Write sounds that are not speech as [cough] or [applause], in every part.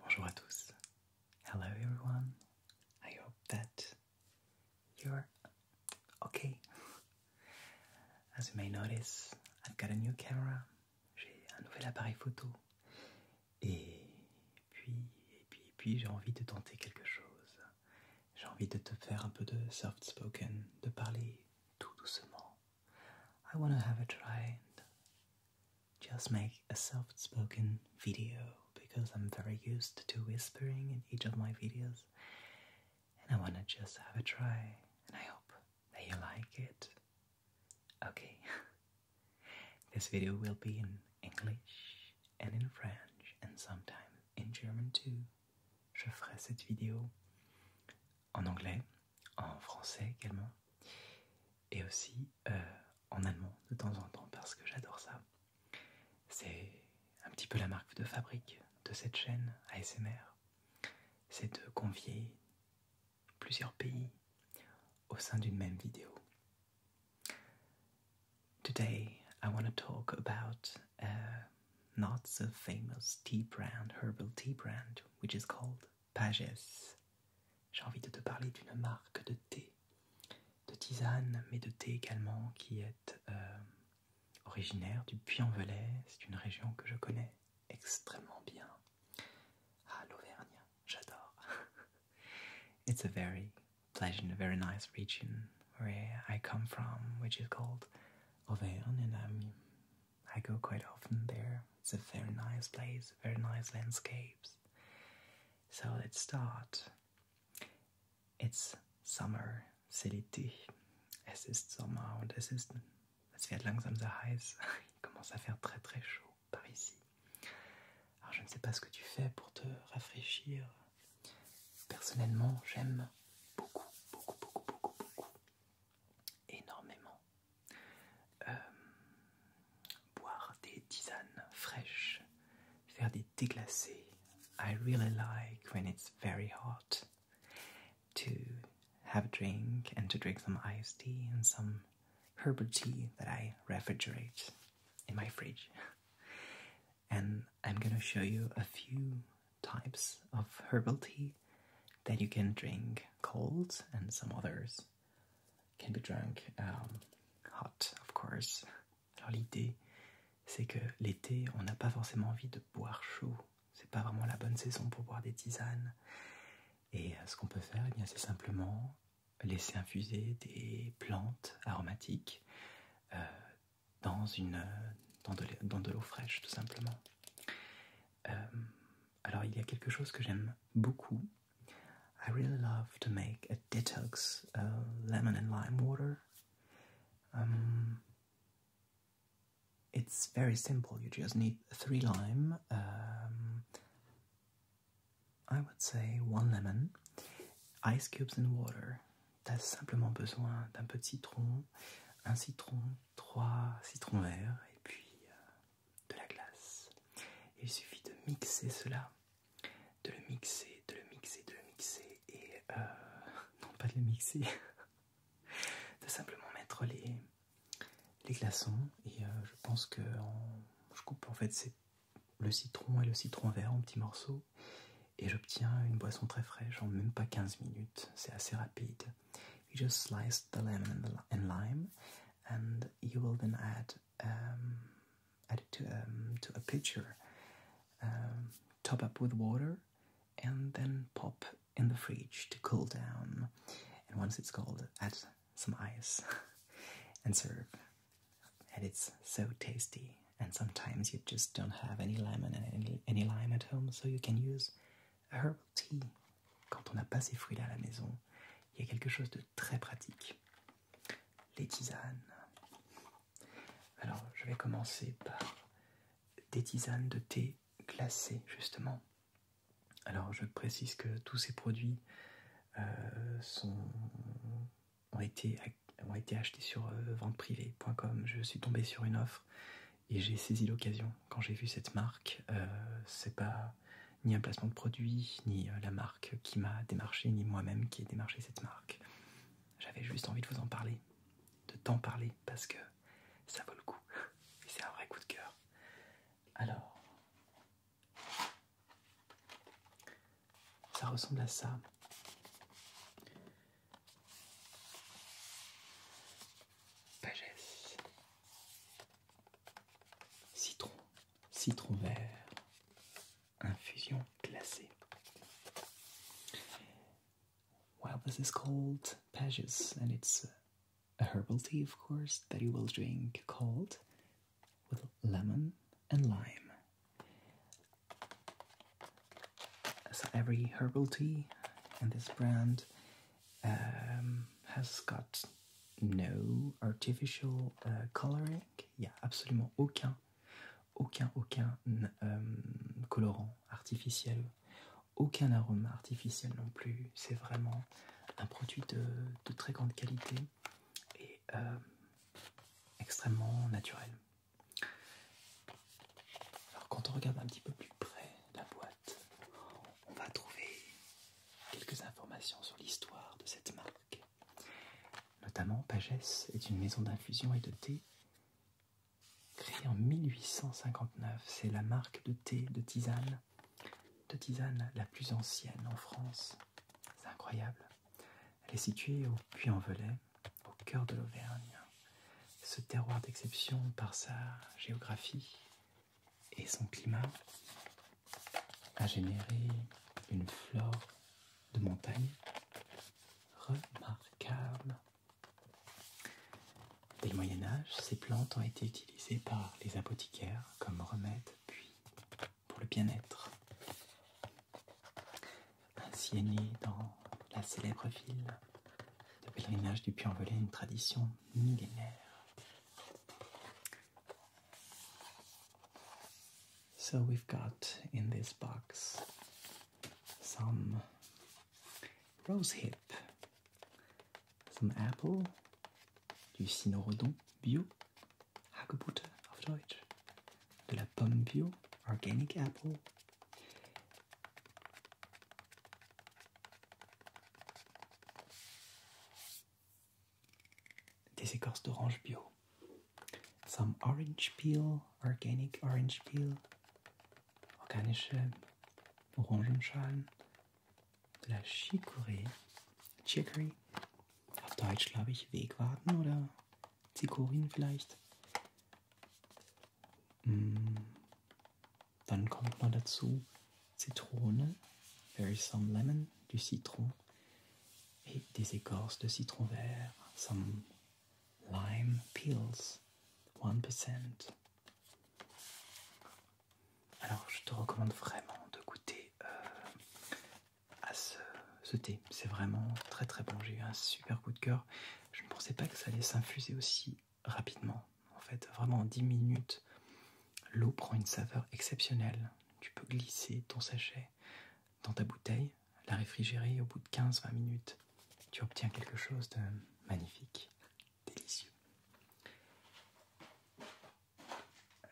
Bonjour à tous. Hello everyone. I hope that you're okay. As you may notice, I've got a new camera. J'ai un nouvel appareil photo. Et et puis, et puis j'ai envie de tenter quelque chose. j'ai envie de te faire un peu de soft spoken, de parler tout doucement. I want to have a try and just make a soft spoken video because I'm very used to whispering in each of my videos and I want to just have a try and I hope that you like it. Okay. [laughs] this video will be in English and in French and sometimes in German too. je ferai cette vidéo en anglais, en français également, et aussi euh, en allemand de temps en temps parce que j'adore ça. C'est un petit peu la marque de fabrique de cette chaîne ASMR, c'est de convier plusieurs pays au sein d'une même vidéo. Today, I want to talk about a uh, not so famous tea brand, herbal tea brand, which is called Pages. J'ai envie de te parler d'une marque de thé, de tisane, mais de thé également, qui est euh, originaire du Puy-en-Velay. C'est une région que je connais extrêmement bien. Ah, l'Auvergne, j'adore. [laughs] It's a very Pleasure in a very nice region where I come from, which is called Auvergne, and I go quite often there. It's a very nice place, very nice landscapes. So let's start. It's summer, c'est l'été. Es ist Sommer und es ist. Es wird langsam sehr heiß. [laughs] Il commence à faire très très chaud par ici. Alors je ne sais pas ce que tu fais pour te rafraîchir Personnellement, j'aime beaucoup, beaucoup, beaucoup, beaucoup, beaucoup, énormément euh, boire des tisanes fraîches, faire des thés glacés. I really like when it's very hot to have a drink and to drink some iced tea and some herbal tea that I refrigerate in my fridge. Et je vais vous montrer quelques few types of herbal tea that you can drink cold, and some others can be drunk um, hot, of course. Alors, l'idée c'est que l'été, on n'a pas forcément envie de boire chaud, Ce n'est pas vraiment la bonne saison pour boire des tisanes. Et euh, ce qu'on peut faire, eh c'est simplement laisser infuser des plantes aromatiques, euh, dans, une, dans de, l'eau fraîche, tout simplement. Euh, alors, il y a quelque chose que j'aime beaucoup. I really love to make a detox lemon and lime water. Um, it's very simple. You just need three lime, um, I would say one lemon, ice cubes, and water tu simplement besoin d'un peu de citron, un citron, trois citrons verts et puis euh, de la glace. il suffit de mixer cela, de le mixer, de le mixer, de le mixer et euh, [laughs] non pas de le mixer, [laughs] de simplement mettre les, glaçons et euh, je pense que je coupe en fait c'est le citron et le citron vert en petits morceaux d'eau et j'obtiens une boisson très fraîche en même pas 15 minutes. C'est assez rapide. You just slice the lemon and lime and you will then add, um, it um, to, a pitcher. Um, top up with water and then pop in the fridge to cool down. And once it's cold, add some ice [laughs] and serve. Et c'est tellement tasty. Et parfois, vous n'avez pas de any lemon and any, à lime at home, so you can use herbal tea. Quand on n'a pas ces fruits-là à la maison, il y a quelque chose de très pratique. Les tisanes. Alors, je vais commencer par des tisanes de thé glacé, justement. Alors, je précise que tous ces produits euh, sont ont été, achetés sur euh, venteprivée.com. Je suis tombé sur une offre et j'ai saisi l'occasion. Quand j'ai vu cette marque, euh, c'est pas ni un placement de produit, ni euh, la marque qui m'a démarché, ni moi-même qui ai démarché cette marque. J'avais juste envie de vous en parler, de t'en parler, parce que ça vaut le coup. Et c'est un vrai coup de cœur. Alors, Ça ressemble à ça. Citron. Citron vert. Infusion glacée. Well, this is called Pages, and it's a herbal tea, of course, that you will drink cold with lemon and lime. So every herbal tea in this brand um, has got no artificial uh, coloring. Il n'y a absolument aucun, aucun, aucun um, colorant artificiel, aucun arôme artificiel non plus. C'est vraiment un produit de, très grande qualité et euh, extrêmement naturel. Alors quand on regarde un petit peu plus près la boîte, on va trouver quelques informations sur l'histoire de cette marque. Notamment, Pagès est une maison d'infusion et de thé créée en 1859. C'est la marque de thé, de tisane, de tisane la plus ancienne en France. C'est incroyable. Elle est située au Puy-en-Velay, au cœur de l'Auvergne. Ce terroir d'exception, par sa géographie et son climat, a généré une flore de montagne remarquable. Dès le Moyen Âge, ces plantes ont été utilisées par les apothicaires comme remède, puis pour le bien-être. Ainsi dans la célèbre ville de pèlerinage du Puy-en-Velay une tradition millénaire. So we've got in this box some rose hip, some apple, du cynorhodon bio, Hagebutte auf Deutsch, de la pomme bio, organic apple. Des écorces d'orange bio. Some orange peel, organic orange peel, organische Orangenschalen, de la chicorée, chicory. Auf Deutsch glaube ich Wegwarten oder Zikorin vielleicht. Mm. Dann kommt noch dazu Zitrone. There is some lemon, du citron. Et des écorces de citron vert. Some lime peels. 1%. Alors, je te recommande vraiment de goûter euh, à ce, thé. C'est vraiment très très bon. J'ai eu un super coup de cœur. Je ne pensais pas que ça allait s'infuser aussi rapidement. En fait, vraiment en 10 minutes, l'eau prend une saveur exceptionnelle. Tu peux glisser ton sachet dans ta bouteille, la réfrigérer au bout de 15-20 minutes. Tu obtiens quelque chose de magnifique, délicieux. Euh,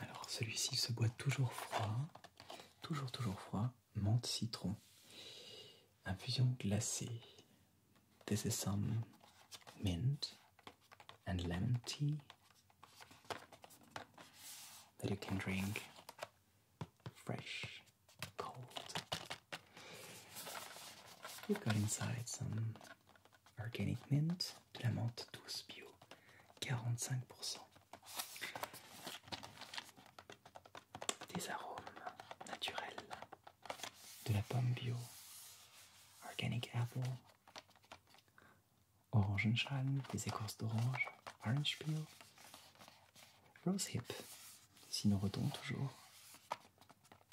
alors celui-ci se boit toujours froid, toujours toujours froid, menthe citron, infusion glacée. This is some mint and lemon tea that you can drink fresh, cold. We've got inside some Organic Mint, de la menthe douce bio, 45%. Des arômes naturels, de la pomme bio, Organic Apple, orange Orangenschalen, des écorces d'orange, Orange Peel, Rose Hip, nous retombe toujours,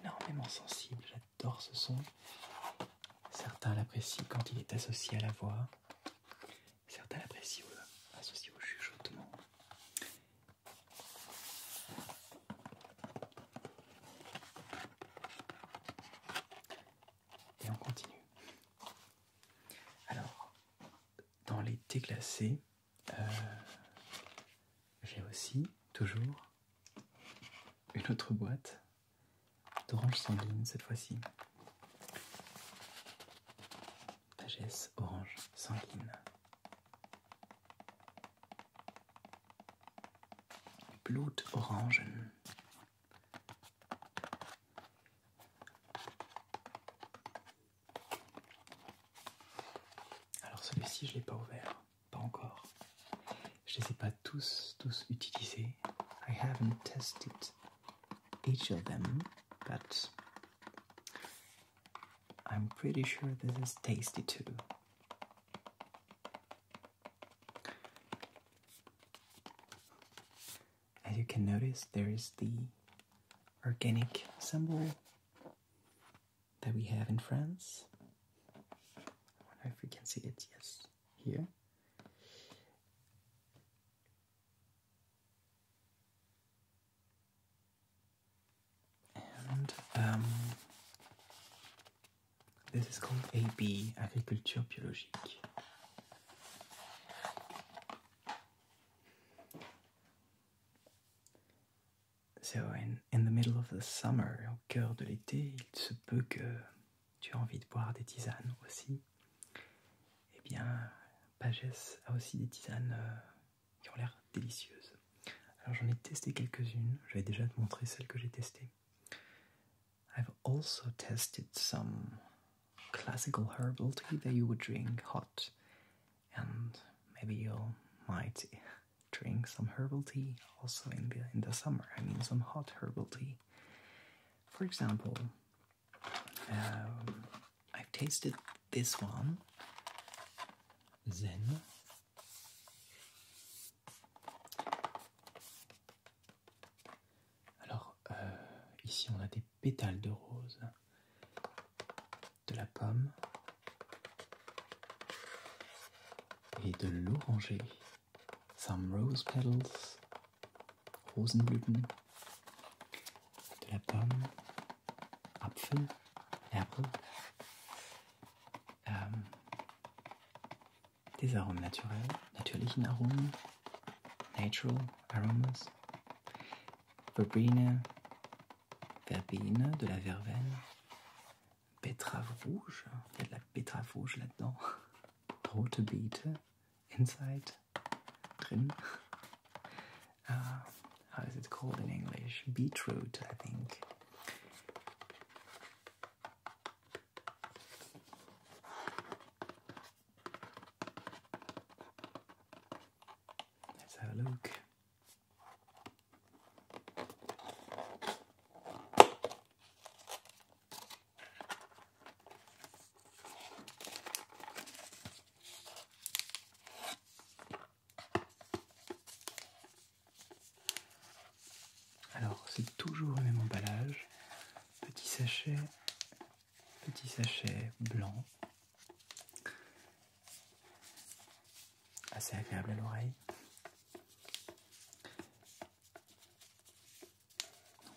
énormément sensible, j'adore ce son. Certains l'apprécient quand il est associé à la voix, certains l'apprécient associé au chuchotement. Et on continue. Alors, dans les thés euh, j'ai aussi toujours une autre boîte d'orange sanguine cette fois-ci. Vagesse orange sanguine. Blut orange. Alors celui-ci je l'ai pas ouvert. pas encore. I haven't tested each of them, but I'm pretty sure this is tasty too. As you can notice, there is the organic symbol that we have in France. I wonder if we can see it, yes, here. And um, this is called AB, Agriculture Biologique. So in, in the middle of the summer, au cœur de l'été, il se peut que tu aies envie de boire des tisanes aussi. Eh bien, Pagès a aussi des tisanes euh, qui ont l'air délicieuses. Alors j'en ai testé quelques-unes, j'avais déjà te montré celles que j'ai testées. I've also tested some classical herbal tea that you would drink hot and maybe you might drink some herbal tea also in the in the summer. I mean, some hot herbal tea. For example, um, I've tasted this one, Zen. Alors, euh, ici on a des pétales de rose. de la pomme et de l'oranger. Some rose petals, Rosenblüten, de la pomme, Apfel, Apple, euh, des arômes naturels, natürlichen arômes natural aromas, Verbena, Verbeine, de la verveine, betterave rouge, il y a de la betterave rouge là-dedans, rote Beete, inside, drin. Uh, how is it called in English? Beetroot, I think. Let's have a look. Alors c'est toujours le même emballage, petit sachet, petit sachet blanc assez agréable à l'oreille.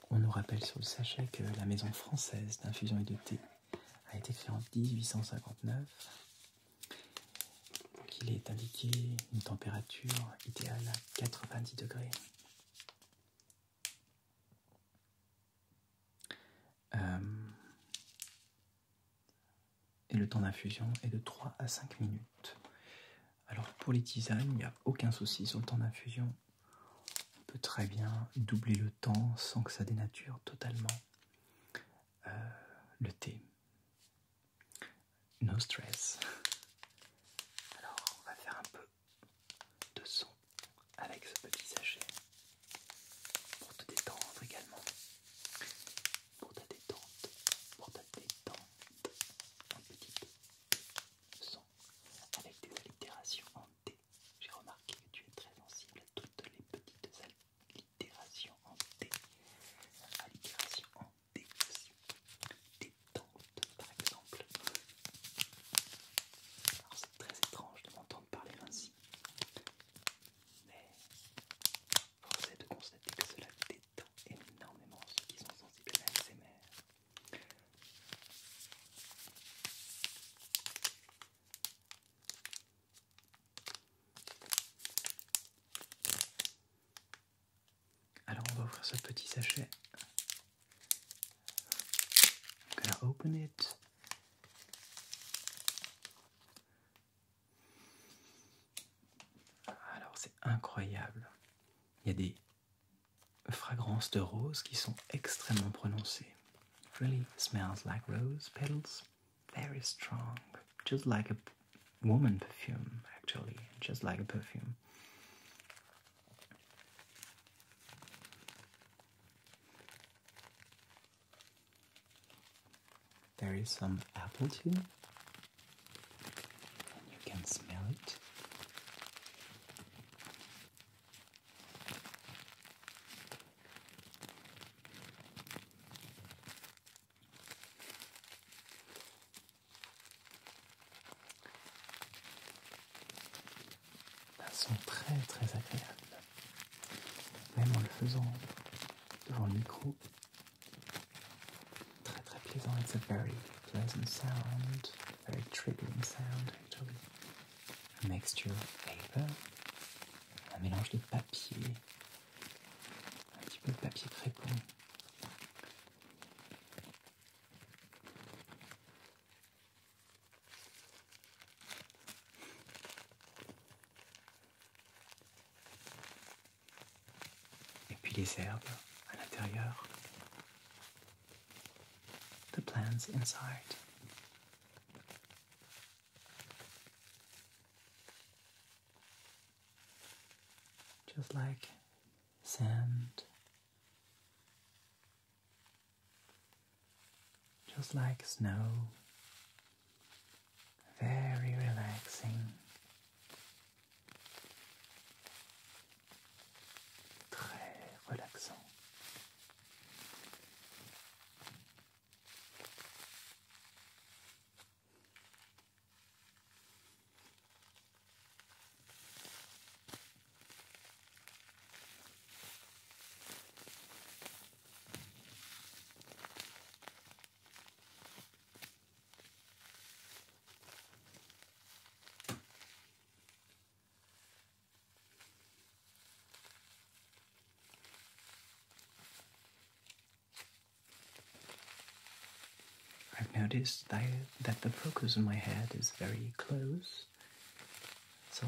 On nous rappelle sur le sachet que la maison française d'infusion et de thé a été créée en 1859, il est indiqué une température idéale à 90 degrés. Euh, et le temps d'infusion est de 3 à 5 minutes. Alors pour les tisanes, il n'y a aucun souci sur le temps d'infusion. On peut très bien doubler le temps sans que ça dénature totalement euh, le thé. No stress. Alors on va faire un peu de son avec ce petit sachet pour te détendre également. Pour ta détente, pour ta détente, un petit son avec des allitérations en D. J'ai remarqué que tu es très sensible à toutes les petites allitérations en D. Allitérations en D aussi. Détente, par exemple. Alors c'est très étrange de m'entendre parler ainsi mais force est de constater que cela détend énormément ceux qui sont sensibles à l'ASMR. Alors on va ouvrir ce petit sachet. I'm gonna open it. Alors c'est incroyable. Il y a des fragrances de rose qui sont extrêmement prononcées. really smells like rose petals, very strong, just like a woman perfume actually, just like a perfume. There is some apple too, and you can smell it. Elles sont très très agréable même en le faisant devant le micro. Très très plaisant, it's a very pleasant sound, very triggering sound actually. A mixture of paper, un mélange de papier, un petit peu de papier crépon. And then les herbes The plants inside. Just like sand just like snow. Very relaxing. Très relaxant. I've noticed that, that the focus on my head is very close, so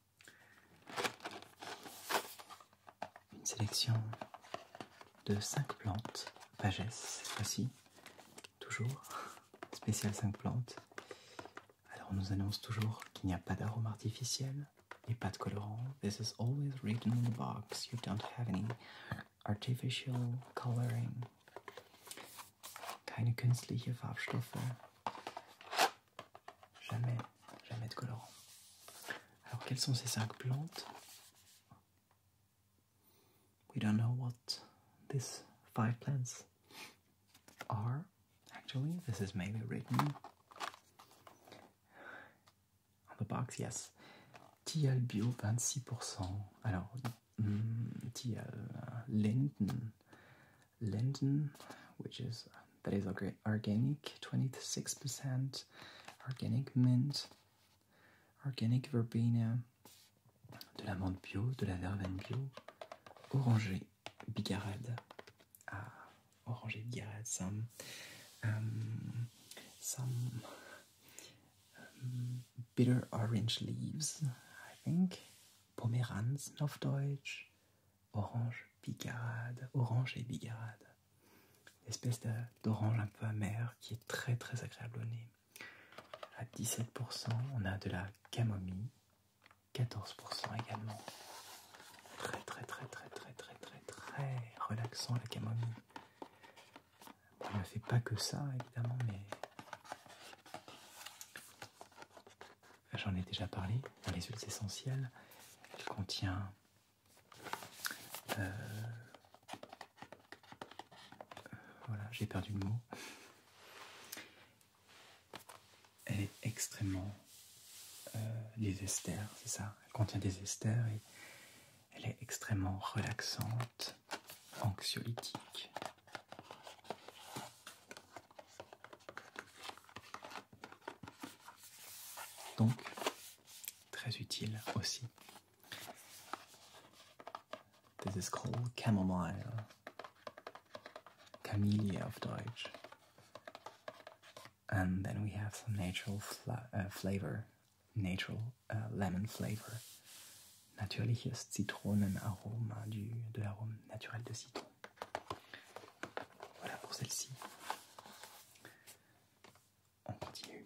Une sélection de 5 plantes, Vagesse, cette fois-ci, toujours, [laughs] spéciale 5 plantes. Alors on nous annonce toujours qu'il n'y a pas d'arôme artificiel et pas de colorant. This is always written in the box, you don't have any artificial coloring. Keine künstliche Farbstoffe. Jamais, jamais de colorant. Alors, quelles sont ces cinq plantes We don't know what these five plants are. Actually, this is maybe written on the box. Yes, TL bio 26%. Alors, hmm, TL euh, Linden linden, which is um, that is organic, 26% organic mint, organic verbena, de la menthe bio, de la verveine bio, orangé bigarade. Ah, orangé bigarade, some um, some um, bitter orange leaves, I think. Pomeranz auf Deutsch. orange bigarade, orange et bigarade. espèce d'orange un peu amère qui est très très agréable au nez. À 17%, on a de la camomille, 14% également. Très très très très très très très très relaxant la camomille. on ne fait pas que ça évidemment, mais j'en ai déjà parlé, dans les huiles essentielles, elle contient euh, voilà, j'ai perdu le mot. Elle est extrêmement euh, des esters, c'est ça. Elle contient des esters et elle est extrêmement relaxante, anxiolytique. Donc, très utile aussi. Das ist called Chamomile. Camellia of Deutsch. And then we have some natural uh, flavor, natural uh, lemon flavor. Natürliches Zitronenaroma, du, de l'arôme naturel de citron. Voilà pour celle-ci. On continue.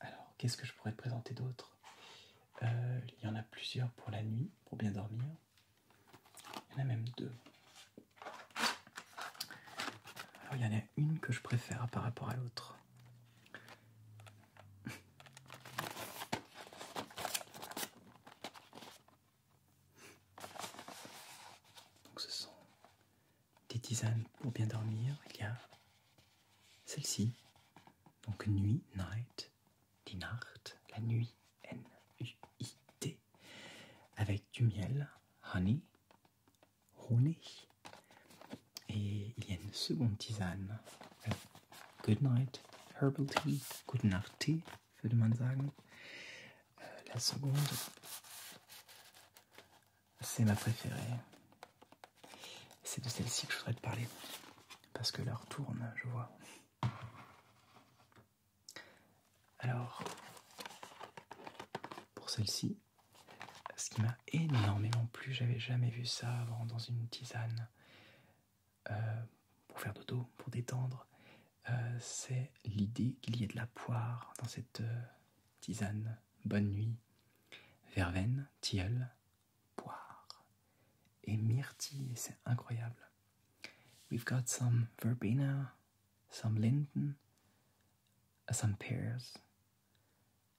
Alors, qu'est-ce que je pourrais te présenter d'autre euh, Il y en a plusieurs pour la nuit, pour bien dormir. Il y en a même deux. Alors, il y en a une que je préfère par rapport à l'autre. Donc ce sont des tisanes pour bien dormir. Il y a celle-ci, donc nuit, night, die la nuit, N-U-I-T, avec du miel, honey, honig. Et il y a une seconde tisane, euh, Good Night Herbal Tea, Good Night Tea, feu de äh, la seconde, c'est ma préférée. C'est de celle-ci que je voudrais te parler. Parce que leur tourne, je vois. Alors, pour celle-ci, ce qui m'a énormément plu, j'avais jamais vu ça avant dans une tisane. Euh, pour faire dodo, pour détendre, euh, c'est l'idée qu'il y ait de la poire dans cette euh, tisane. Bonne nuit, verveine, tilleul, poire et myrtille, c'est incroyable. We've got some verbena, some linden, uh, some pears,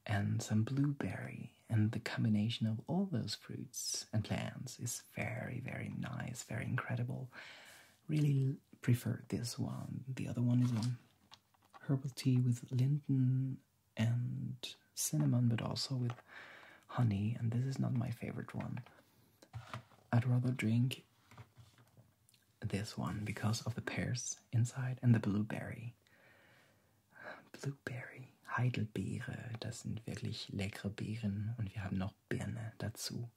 and some blueberry, and the combination of all those fruits, and plants. is very, very nice, very incredible. Really prefer this one. The other one is a herbal tea with linden and cinnamon, but also with honey, and this is not my favorite one. I'd rather drink this one because of the pears inside and the blueberry. Blueberry, Heidelbeere, das sind wirklich leckere Beeren und wir haben noch Birne dazu.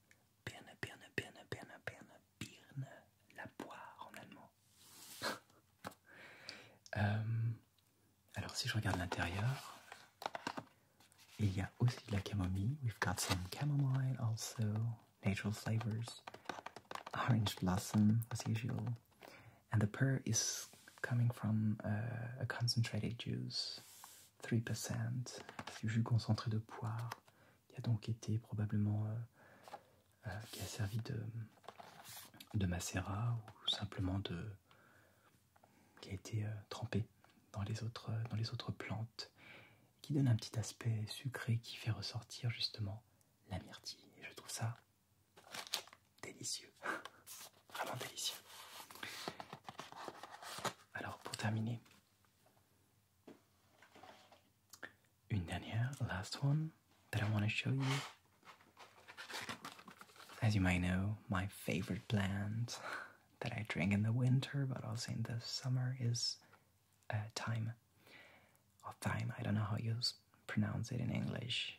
Birne, Birne, Birne, Birne, Birne, la poire en allemand. [laughs] Euh, alors si je regarde l'intérieur, il y a aussi de la camomille. We've got some chamomile also, natural flavors, orange blossom as usual. And the pear is coming from uh, a concentrated juice 3%, du jus concentré de poire, qui a donc été probablement, euh, euh, qui a servi de, de ou simplement de, qui a été euh, trempé dans les, autres, dans les autres plantes, qui donne un petit aspect sucré qui fait ressortir justement la myrtille. Et je trouve ça délicieux. [laughs] Vraiment ah délicieux. Alors pour terminer, une last one that I want to show you. As you may know, my favorite plant that I drink in the winter but also in the summer is uh, thyme. Or thyme, I don't know how you pronounce it in English.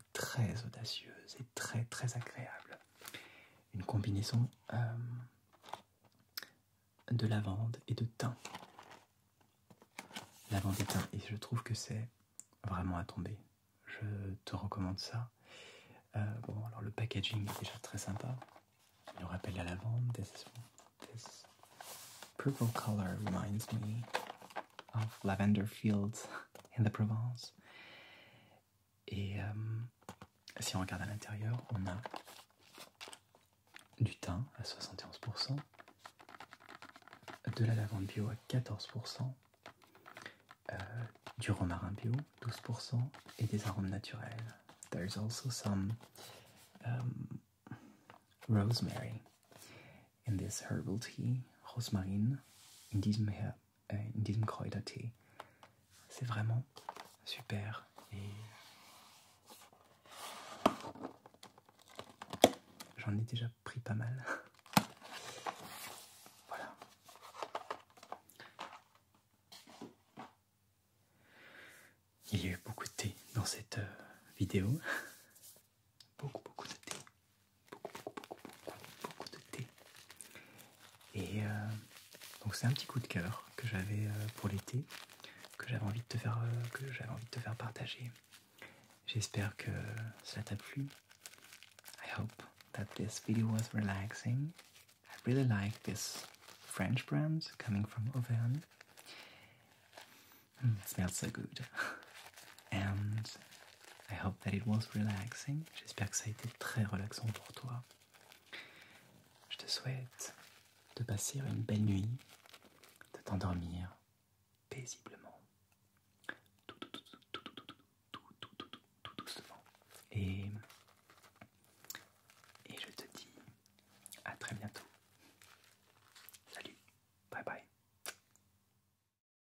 très audacieuse et très très agréable. Une combinaison euh, de lavande et de thym. Lavande et thym, et je trouve que c'est vraiment à tomber. Je te recommande ça. Euh, bon, alors le packaging est déjà très sympa. Il nous rappelle la lavande. this purple color reminds me of lavender fields in the Provence. Et euh, si on regarde à l'intérieur, on a du thym à 71%, de la lavande bio à 14%, euh, du romarin bio 12% et des arômes naturels. There's also some um, rosemary in this herbal tea, rosemarine in diesem euh, in diesem thé C'est vraiment super. Et j'en ai déjà pris pas mal. [laughs] voilà. Il y a eu beaucoup de thé dans cette euh, vidéo. [laughs] beaucoup, beaucoup de thé beaucoup, beaucoup, beaucoup, beaucoup de thé. Et euh, donc c'est un petit coup de cœur que j'avais euh, pour l'été, que j'avais envie de te faire, euh, que j'avais envie de te faire partager. J'espère que ça t'a plu. I hope that this video was relaxing. I really like this French brand coming from Auvergne. Mm, it smells so good. [laughs] and I hope that it was relaxing. J'espère que ça a été très relaxant pour toi. Je te souhaite de passer une belle nuit, de t'endormir paisiblement, tout, doucement. Et, et je te dis à très bientôt. Salut, bye bye.